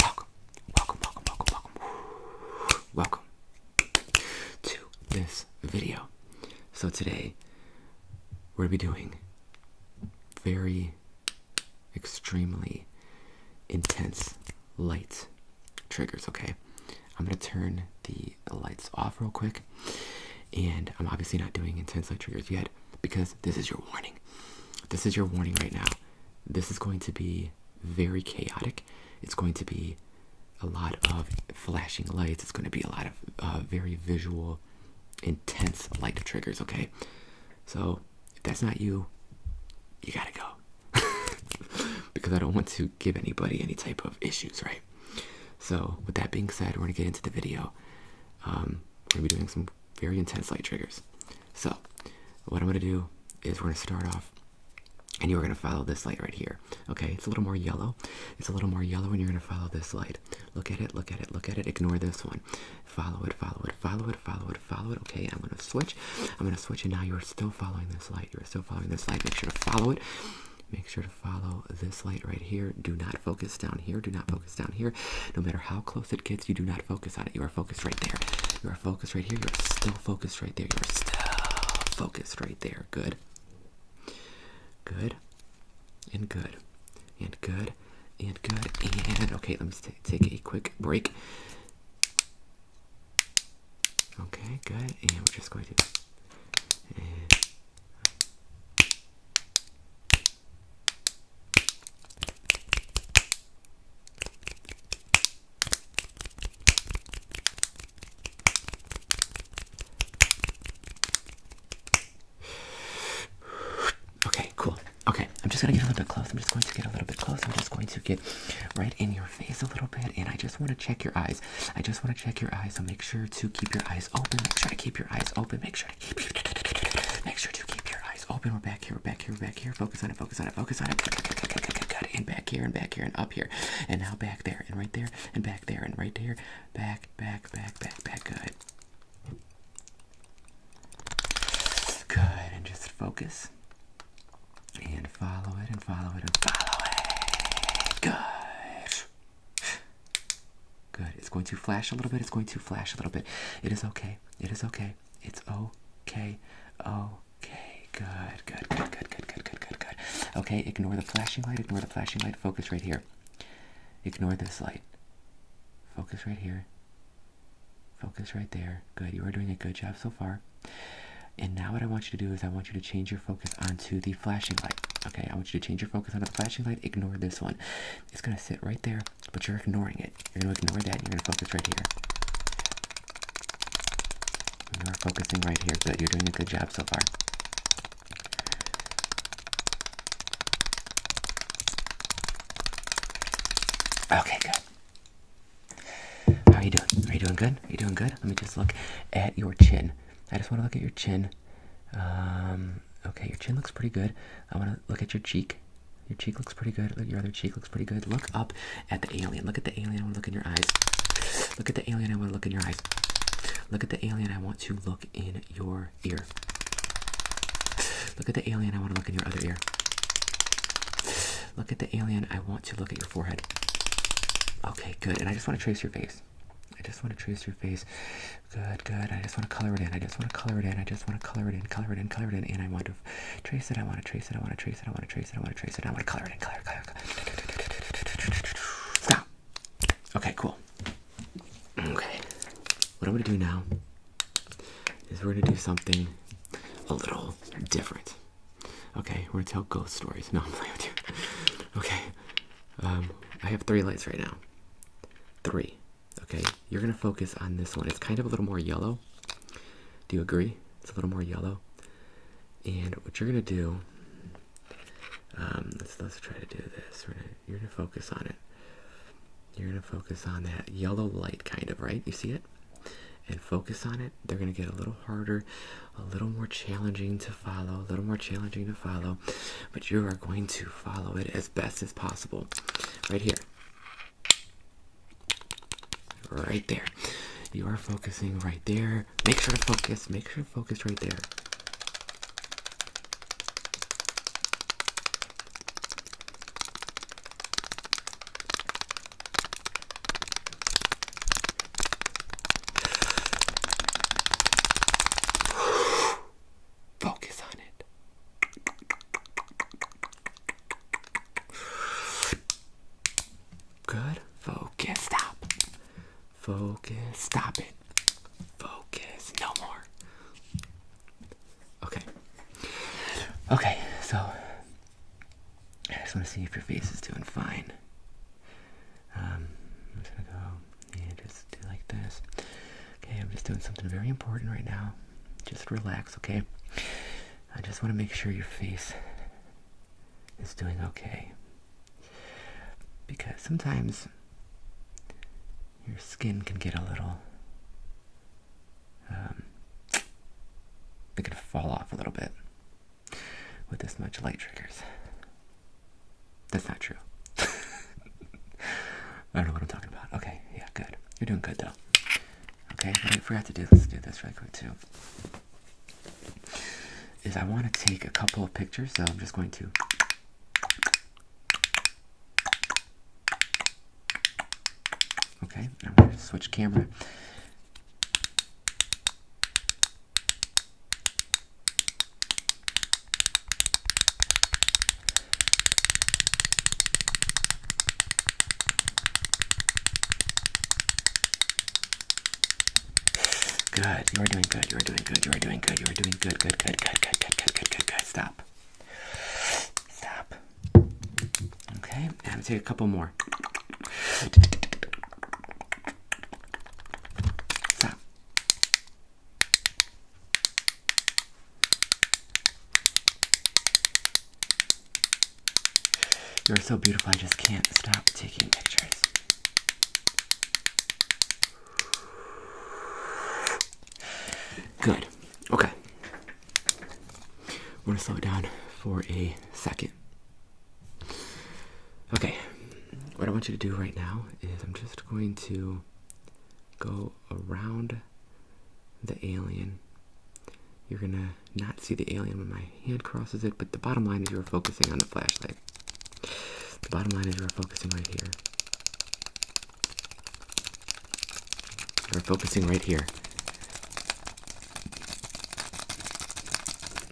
Welcome, welcome, welcome, welcome, welcome, welcome to this video. So today we're gonna be doing very extremely intense light triggers. Okay, I'm gonna turn the lights off real quick. And I'm obviously not doing intense light triggers yet because this is your warning. This is your warning right now. This is going to be very chaotic. It's going to be a lot of flashing lights. It's going to be a lot of uh, very visual, intense light triggers, okay? So if that's not you, you gotta go. because I don't want to give anybody any type of issues, right? So, with that being said, we're gonna get into the video. Um, we're gonna be doing some very intense light triggers. So, what I'm gonna do is we're gonna start off, and you're gonna follow this light right here. Okay, it's a little more yellow. It's a little more yellow, and you're gonna follow this light. Look at it. Look at it. Look at it. Ignore this one. Follow it. Follow it. Follow it. Follow it. Follow it. Okay, I'm gonna switch. I'm gonna switch, and now you're still following this light. You're still following this light. Make sure to follow it. Make sure to follow this light right here. Do not focus down here. Do not focus down here. No matter how close it gets, you do not focus on it. You are focused right there. You are focused right here. You are still focused right there. You are still focused right there. Good. Good. And good. And good. And good. And okay, let me take a quick break. Okay, good. And we're just going to. Okay, cool. Okay, I'm just gonna get a little bit close. I'm just going to get a little bit close. I'm just going to get right in your face a little bit, and I just want to check your eyes eyes. I just want to check your eyes, so make sure to keep your eyes open. Make sure to keep your eyes open. Make sure to keep make sure to keep your eyes open. We're back here, we're back here, we're back here. Focus on it, focus on it, focus on it. Good. And back here and back here and up here. And now back there and right there and back there and right there. Back, back, back, back, back. Good. Good. And just focus. And follow it and follow it and follow it. Good. Good. It's going to flash a little bit. It's going to flash a little bit. It is okay. It is okay. It's okay. Okay. Good. Good. Good. Good. Good. Good. Good. Good. Okay. Ignore the flashing light. Ignore the flashing light. Focus right here. Ignore this light. Focus right here. Focus right there. Good. You are doing a good job so far. And now what I want you to do is I want you to change your focus onto the flashing light. Okay, I want you to change your focus onto the flashing light. Ignore this one. It's gonna sit right there, but you're ignoring it. You're gonna ignore that. And you're gonna focus right here. You're focusing right here. Good. You're doing a good job so far. Okay, good. How are you doing? Are you doing good? Are you doing good? Let me just look at your chin. I just want to look at your chin. Um, okay, your chin looks pretty good. I want to look at your cheek. Your cheek looks pretty good. your other cheek looks pretty good. Look up at the alien. Look at the alien. I want to look in your eyes. Look at the alien. I want to look in your eyes. Look at the alien. I want to look in your ear. Look at the alien. I want to look in your other ear. Look at the alien. I want to look at your forehead. Okay, good. And I just want to trace your face face. I just want to trace your face. Good, good. I just want to color it in. I just want to color it in. I just want to color it in. Color it in. Color it in. And I want to trace it. I want to trace it. I want to trace it. I want to trace it. I want to trace it. I want to color it in. Color, color, color. Stop. Okay, cool. Okay. What I'm gonna do now is we're gonna do something a little different. Okay, we're gonna tell ghost stories. No, I'm playing with you. Okay, um, I have three lights right now. Three. Okay, you're gonna focus on this one. It's kind of a little more yellow. Do you agree? It's a little more yellow. And what you're gonna do, um, let's let's try to do this. you're gonna focus on it. You're gonna focus on that yellow light, kind of right. You see it? And focus on it. They're gonna get a little harder a little more challenging to follow, a little more challenging to follow, but you are going to follow it as best as possible. Right here. Right there. You are focusing right there. Make sure to focus. Make sure to focus right there. Focus on it. Good. Focus. Stop. Focus. Stop it. Focus. No more. Okay. Okay, so I just want to see if your face is doing fine. Um, I'm just gonna go and just do like this. Okay, I'm just doing something very important right now. Just relax, okay? I just want to make sure your face is doing okay. Because sometimes your skin can get a little, um, it can fall off a little bit with this much light triggers. That's not true. I don't know what I'm talking about. Okay, yeah, good. You're doing good though. Okay, I forgot to do, let's do this really quick too. Is I want to take a couple of pictures, so I'm just going to. Okay, I'm going to switch camera. Good. You are doing good. You are doing good. You are doing good. You are doing good. Good. Good. Good. Good. Good. Good. Good. Good. good, good. Stop. Stop. Okay. I'm gonna take a couple more. Stop. You're so beautiful, I just can't stop taking pictures. Good. Okay. We're going to slow it down for a second. Okay, what I want you to do right now is I'm just going to go around the alien. You're gonna not see the alien when my hand crosses it, but the bottom line is you're focusing on the flashlight. The bottom line is you're focusing right here. You're focusing right here.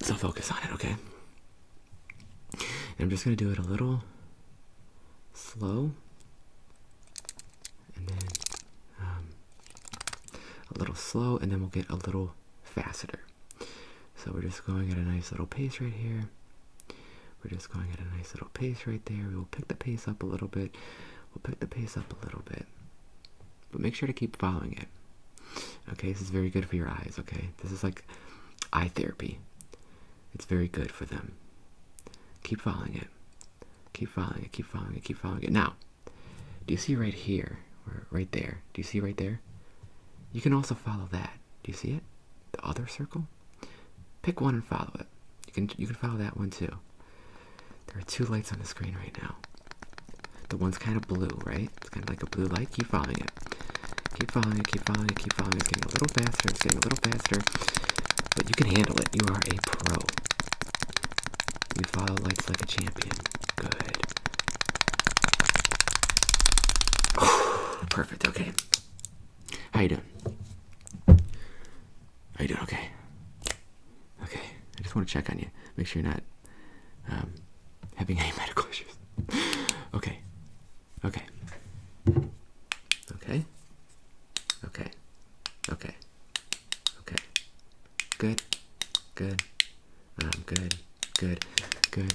So focus on it, okay? And I'm just going to do it a little slow and then um, a little slow, and then we'll get a little faster. So we're just going at a nice little pace right here. We're just going at a nice little pace right there. We'll pick the pace up a little bit. We'll pick the pace up a little bit. But make sure to keep following it. Okay, this is very good for your eyes, okay? This is like eye therapy. It's very good for them. Keep following it. Keep following it, keep following it, keep following it. Now, do you see right here, right there? Do you see right there? You can also follow that. Do you see it? The other circle? Pick one and follow it. You can you can follow that one too. There are two lights on the screen right now. The one's kind of blue, right? It's kind of like a blue light. Keep following it. Keep following it, keep following it, keep following It's getting a little faster, it's getting a little faster. But you can handle it. You are a pro. You follow lights like a champion. Good. Perfect, okay. How you doing? How you doing? Okay. Okay. I just want to check on you. Make sure you're not um, having any medical issues. okay, okay, okay, okay, okay, okay. Good, good, um, good, good, good.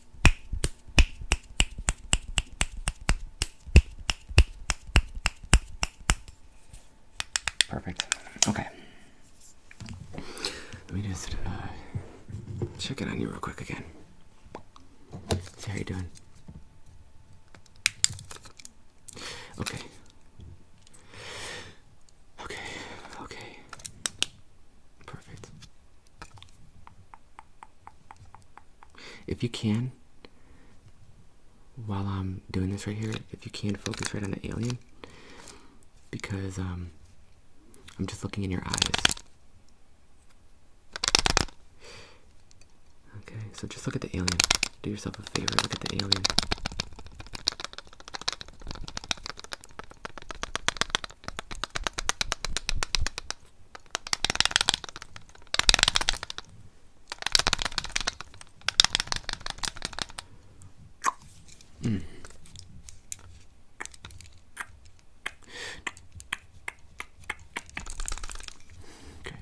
Perfect. Okay. Let me just uh, check it on you real quick again. See how you're doing. Okay. Okay. Okay. Perfect. If you can, while I'm doing this right here, if you can focus right on the alien, because um, I'm just looking in your eyes. Okay, so just look at the alien. Do yourself a favor, look at the alien. Mm. Good.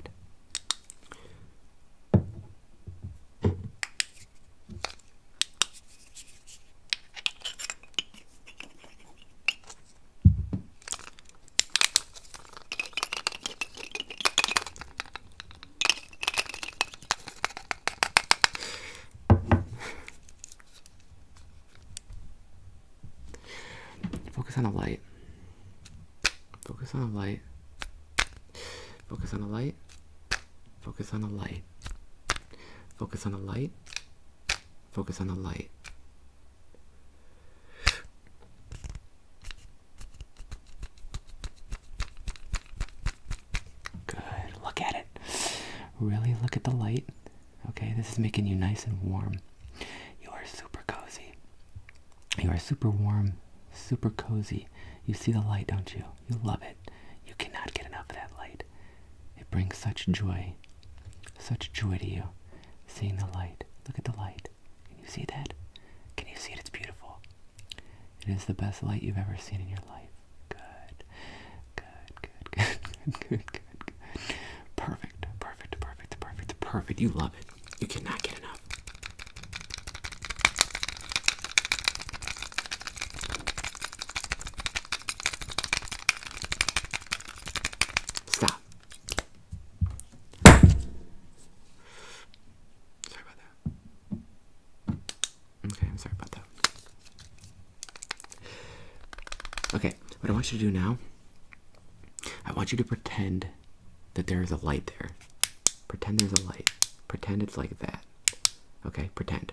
Focus on the light. Focus on the light. Focus on the light. Focus on the light. Focus on the light. Focus on the light. Good. Look at it. Really look at the light. Okay, this is making you nice and warm. You are super cozy. You are super warm, super cozy. You see the light, don't you? You love it. You cannot get enough of that light light. It brings such joy, such joy to you, seeing the light. Look at the light. Can you see that? Can you see it? It's beautiful. It is the best light you've ever seen in your life. Good. Good, good, good, good, good, good, good. Perfect, perfect, perfect, perfect, perfect. You love it. You cannot get enough. Stop. Sorry about that. Okay, I'm sorry about that. Okay, what I want you to do now, I want you to pretend that there is a light there. Pretend there's a light. Pretend it's like that. Okay, pretend.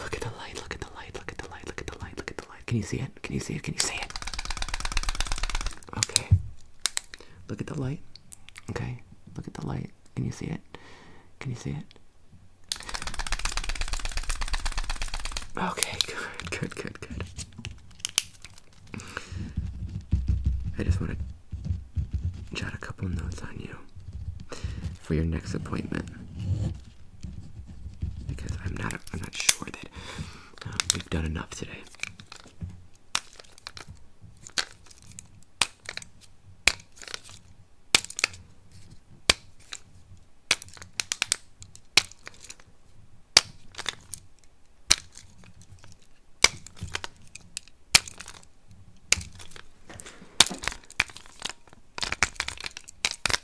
Look at the light, look at the light, look at the light, look at the light, look at the light. Can you see it? Can you see it? Can you see it? Okay. Look at the light. Okay. Look at the light. Can you see it? Can you see it? Okay, good, good, good, good. I just want to jot a couple notes on you for your next appointment because I'm not I'm not sure that um, we've done enough today.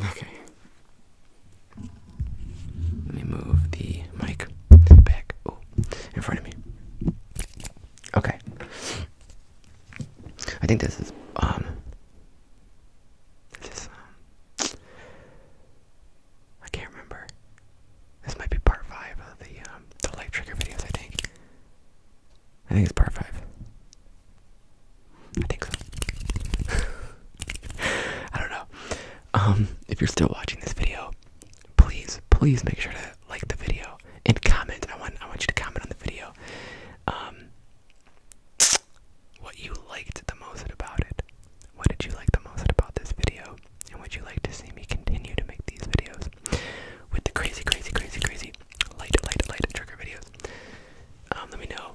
Okay. Let me move the mic back in front of me. Okay. I think this is um this um I can't remember. This might be part five of the um, the light trigger videos I think. I think it's part five. I think so. I don't know. Um, if you're still watching this video, please, please make sure to like the video and comment. I want, I want you to comment on the video. Um, what you liked the most about it. What did you like the most about this video? And would you like to see me continue to make these videos with the crazy, crazy, crazy, crazy light, light, light trigger videos? Um, let me know.